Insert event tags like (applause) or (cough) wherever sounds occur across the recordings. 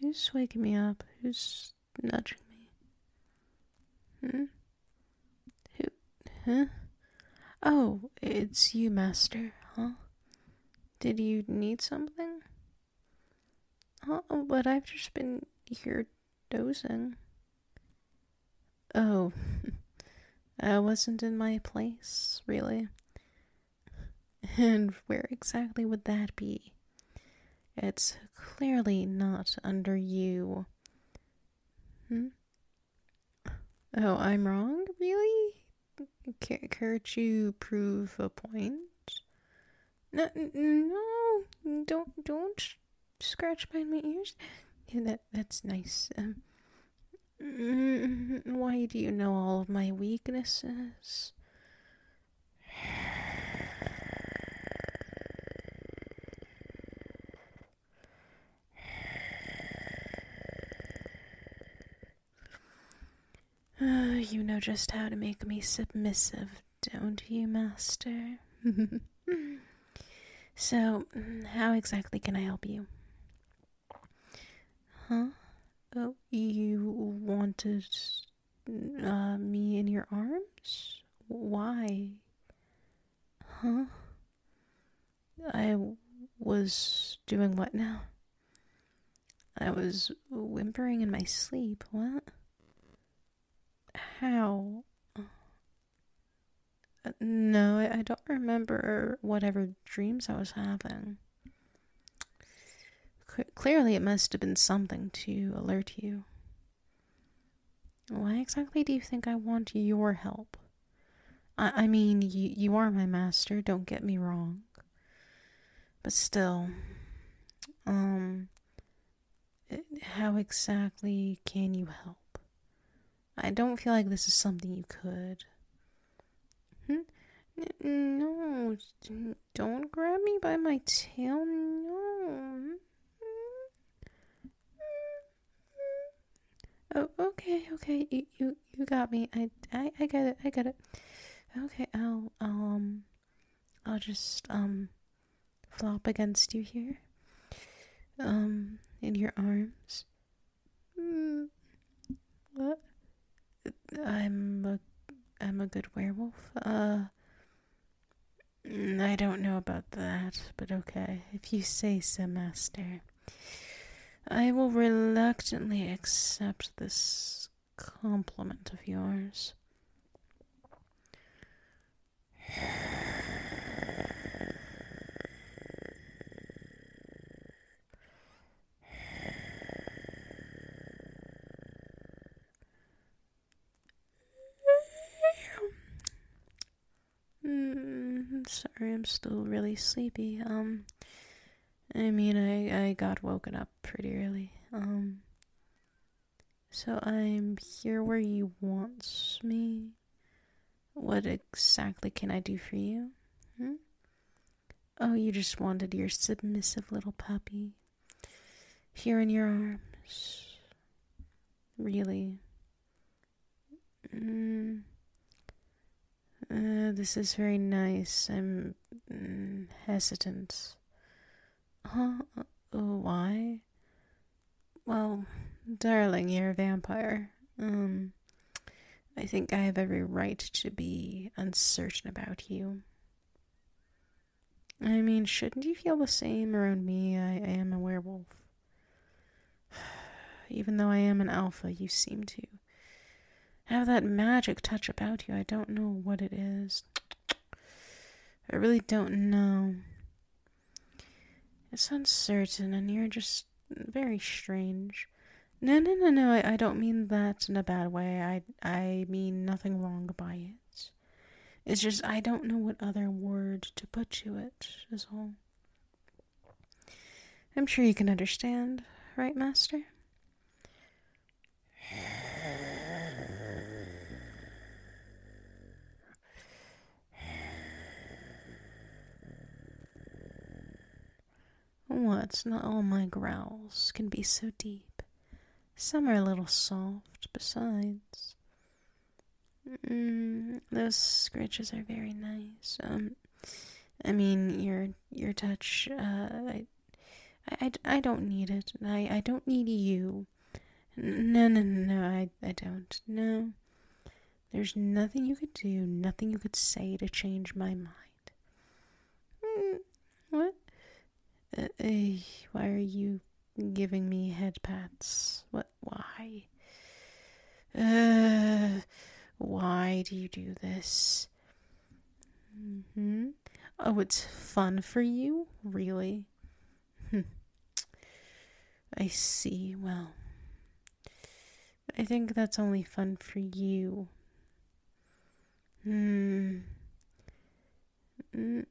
Who's waking me up? Who's nudging me? Hmm? Who? Huh? Oh, it's you, Master, huh? Did you need something? Huh? Oh, but I've just been here dozing. Oh, (laughs) I wasn't in my place, really. And where exactly would that be? It's clearly not under you. Hmm? Oh, I'm wrong? Really? can't you prove a point? No, don't, don't scratch behind my ears. Yeah, that, that's nice. Um, Mm-hmm. Why do you know all of my weaknesses? Uh, you know just how to make me submissive, don't you, Master? (laughs) so, mm, how exactly can I help you? Huh? Oh, you wanted uh, me in your arms? Why? Huh? I was doing what now? I was whimpering in my sleep. What? How? No, I, don't remember whatever dreams I was having. clearly, it must have been something to alert you. Why exactly do you think I want your help? I, I mean, you, you are my master, don't get me wrong. But still, um, how exactly can you help? I don't feel like this is something you could. Hmm? No, don't grab me by my tail. No. Hmm? Hmm? Hmm? Oh, okay, okay. You, you, you got me. I, I, I get it. I get it. Okay, I'll, um, I'll just, um, flop against you here. Um, in your arms. Mm, what? I'm a, I'm a good werewolf. Uh, I don't know about that, but okay. If you say so, Master. I will reluctantly accept this compliment of yours. Mm, sorry, I'm still really sleepy. Um, I mean, I, I got woken up pretty early. Um, so I'm here where you wants me. What exactly can I do for you? Hmm? Oh, you just wanted your submissive little puppy here in your arms. Really? Mm. this is very nice. I'm mm, hesitant. Huh? Uh, why? Well, darling, you're a vampire. Um, I think I have every right to be uncertain about you. I mean, shouldn't you feel the same around me? I, I am a werewolf. (sighs) Even though I am an alpha, you seem to have that magic touch about you. I don't know what it is. I really don't know. It's uncertain, and you're just very strange. No, no, no, no. I, I don't mean that in a bad way. I I mean nothing wrong by it. It's just I don't know what other word to put to it is all. I'm sure you can understand, right, master? What? Not all my growls can be so deep. Some are a little soft, besides. Mm, those scratches are very nice. Um, I mean, your your touch, uh, I, I, I don't need it. I, I don't need you. No, no, no, I, I don't. know. There's nothing you could do, nothing you could say to change my mind. Mm, what? Uh, uh, why are you giving me headpats? What? Why? Uh, why do you do this? Mm-hmm. Oh, it's fun for you? Really? Hmm. I see. Well, I think that's only fun for you. Hmm. Mm,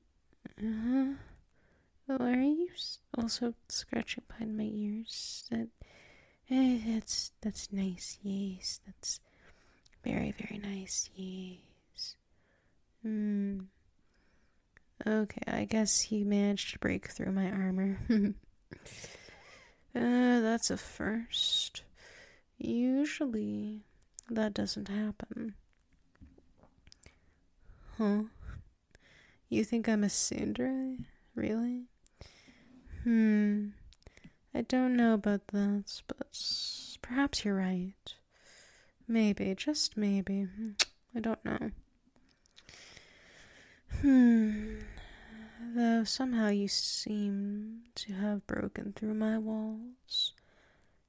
uh-huh. are you also scratching behind my ears? That, eh, that's that's nice. Yes, that's very very nice. Yes. Hmm. Okay, I guess he managed to break through my armor. (laughs) Uh, that's a first. Usually, that doesn't happen. Huh? You think I'm a Sundere? Really? Hmm. I don't know about that, but perhaps you're right. Maybe, just maybe. I don't know. Hmm. Though somehow you seem to have broken through my walls,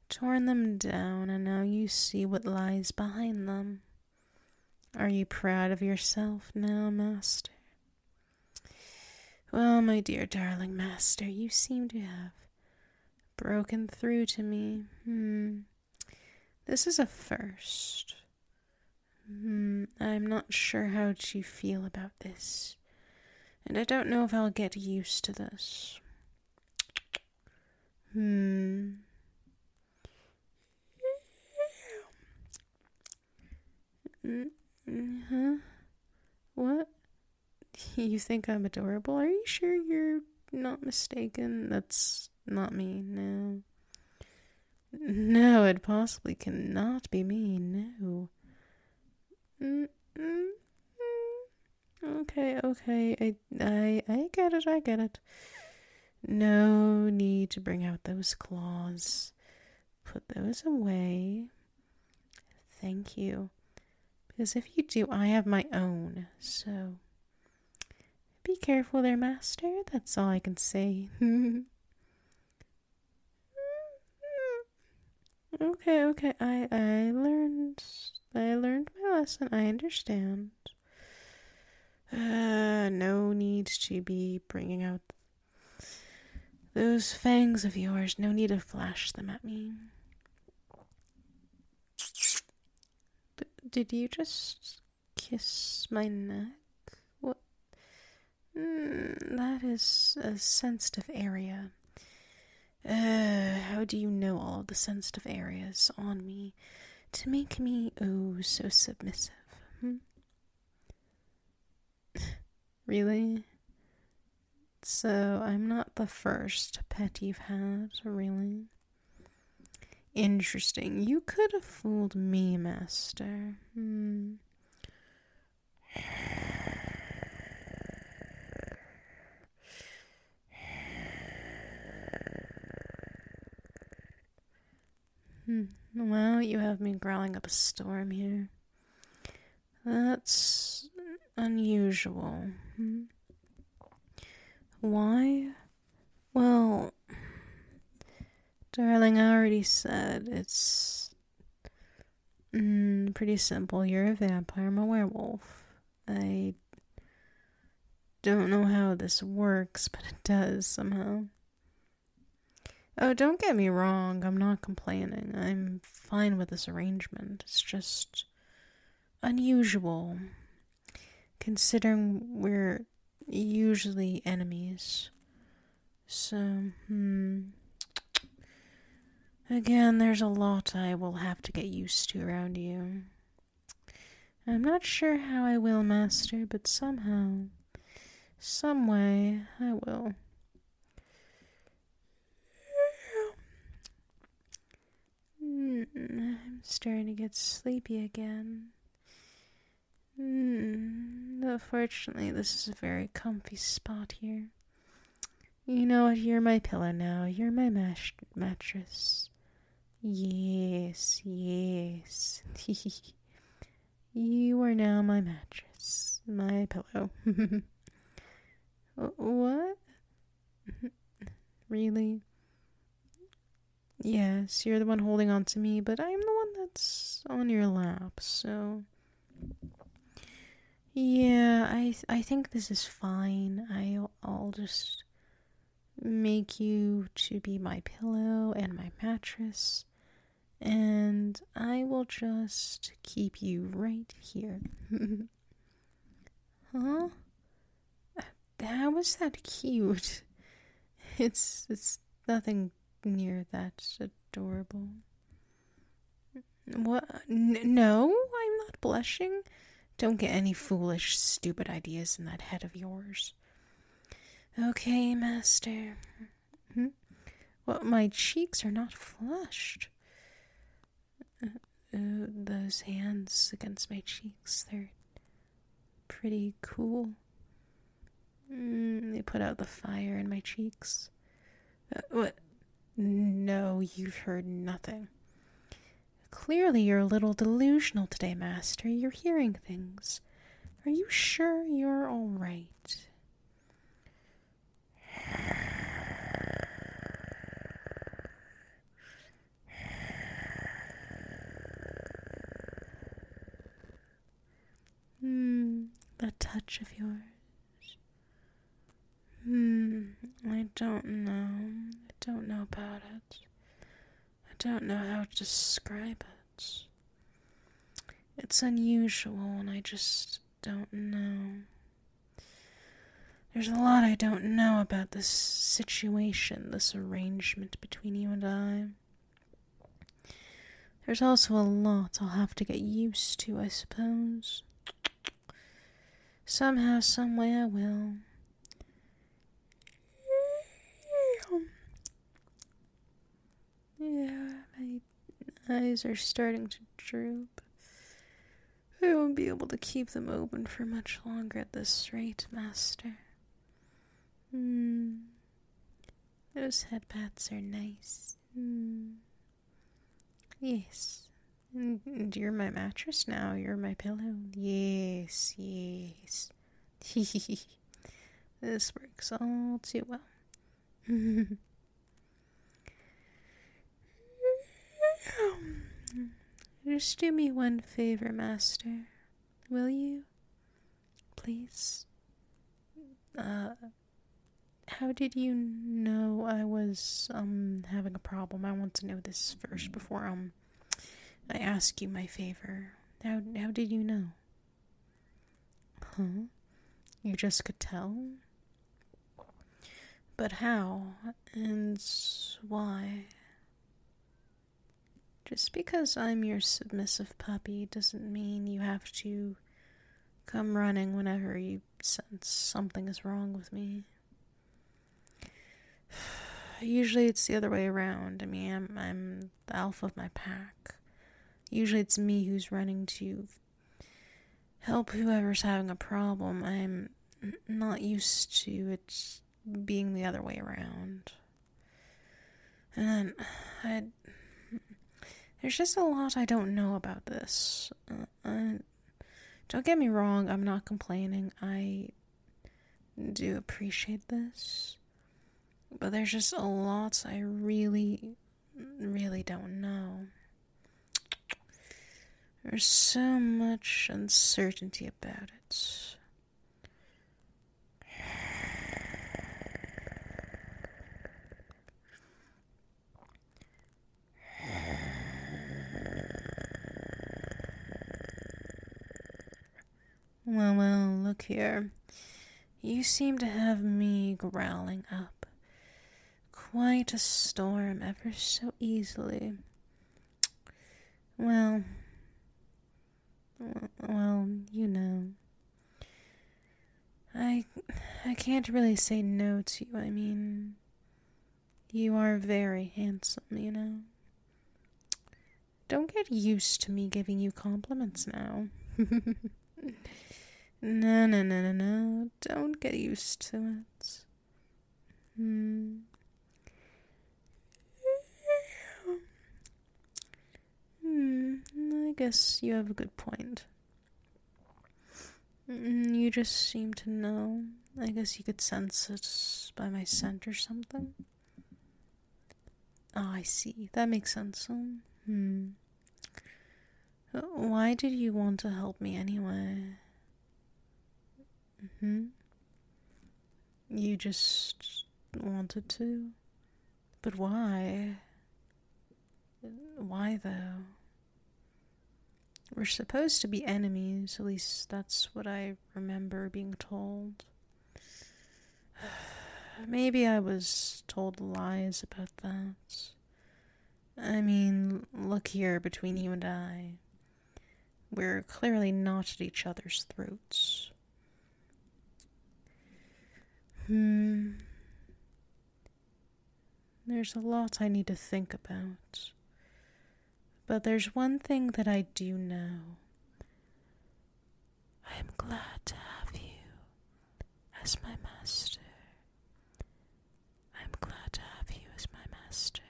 torn them down, and now you see what lies behind them. Are you proud of yourself now, Master? Well, my dear darling Master, you seem to have broken through to me. Hmm. This is a first. Hmm. I'm not sure how you feel about this. And I don't know if I'll get used to this. Hmm. Huh? Mm-hmm. What? (laughs) you think I'm adorable? Are you sure you're not mistaken? That's not me, no. No, it possibly cannot be me, no. mm Okay, okay, I, I, I get it, I get it. No need to bring out those claws. Put those away. Thank you. Because if you do, I have my own. So be careful there, master. That's all I can say. (laughs) okay, okay. I I learned I learned my lesson. I understand. Uh, no need to be bringing out those fangs of yours. No need to flash them at me. Did you just kiss my neck? What? Hmm, that is a sensitive area. Uh, how do you know all the sensitive areas on me to make me oh so submissive? Hmm? (laughs) really? So I'm not the first pet you've had, really. Interesting. You could have fooled me, Master. Hmm. hmm. Well, you have me growling up a storm here. That's unusual. Why? Well, darling, I already said it's mm, pretty simple. You're a vampire, I'm a werewolf. I don't know how this works, but it does somehow. Oh, don't get me wrong, I'm not complaining. I'm fine with this arrangement. It's just unusual, considering we're usually enemies. So, hmm. Again, there's a lot I will have to get used to around you. I'm not sure how I will, Master, but somehow, some way, I will. Mm, I'm starting to get sleepy again. Mm, fortunately, this is a very comfy spot here. You know what? You're my pillow now. You're my mash- mattress. Yes, yes. (laughs) you are now my mattress, my pillow. (laughs) Uh, what? (laughs) really? Yes, you're the one holding on to me, but I'm the one that's on your lap, so. Yeah, I I think this is fine. I'll just make you to be my pillow and my mattress and I will just keep you right here. (laughs) huh? That was that cute. (laughs) It's it's nothing near that adorable. What? no, I'm not blushing. Don't get any foolish, stupid ideas in that head of yours. Okay, master. Hmm? Well, my cheeks are not flushed. Uh, uh, those hands against my cheeks, they're pretty cool. Mm, they put out the fire in my cheeks. Uh, what? No, you've heard nothing. Clearly, you're a little delusional today, Master. You're hearing things. Are you sure you're all right? Hmm, that touch of yours. Hmm, I don't know. I don't know about it. I don't know how to describe it. It's unusual, and I just don't know. There's a lot I don't know about this situation, this arrangement between you and I. There's also a lot I'll have to get used to, I suppose. Somehow, someway, I will. Yeah, my eyes are starting to droop. I won't be able to keep them open for much longer at this rate, Master. Hmm. Those headpads are nice. Mm. Yes. And you're my mattress now. You're my pillow. Yes, yes. (laughs) this works all too well. (laughs) Just do me one favor, Master. Will you? Please? Uh, how did you know I was, um, having a problem? I want to know this first before, um, I ask you my favor. How, how did you know? Huh? You just could tell? But how and why? Just because I'm your submissive puppy doesn't mean you have to come running whenever you sense something is wrong with me. (sighs) Usually it's the other way around. I mean, I'm, I'm the alpha of my pack. Usually it's me who's running to help whoever's having a problem. I'm not used to it being the other way around. And (sighs) There's just a lot I don't know about this. Uh, don't get me wrong, I'm not complaining. I do appreciate this. But there's just a lot I really, really don't know. There's so much uncertainty about it. Well, well, look here. You seem to have me growling up. Quite a storm ever so easily. Well, well, you know. I I can't really say no to you. I mean, you are very handsome, you know. Don't get used to me giving you compliments now. (laughs) no, no, no, no, no. Don't get used to it. Hmm. Hmm, I guess you have a good point. Hmm. You just seem to know. I guess you could sense it by my scent or something. Ah, I see. That makes sense. hmm. Why did you want to help me anyway? Mm-hmm. You just wanted to? But why? Why though? We're supposed to be enemies, at least that's what I remember being told. (sighs) Maybe I was told lies about that. I mean, look here between you and I. We're clearly not at each other's throats. Hmm. There's a lot I need to think about. But there's one thing that I do know. I am glad to have you as my master. I am glad to have you as my master.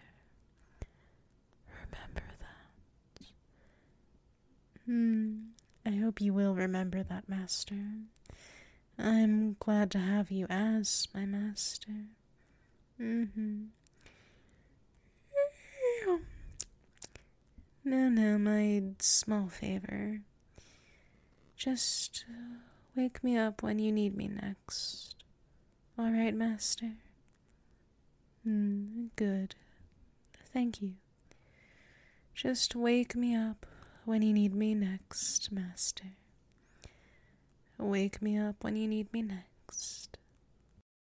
Remember that. Hmm. I hope you will remember that, master. I'm glad to have you as my master. hmm. No, no, my small favor. Just uh, wake me up when you need me next. All right, master? Mm, good. Thank you. Just wake me up when you need me next, master. Wake me up when you need me next.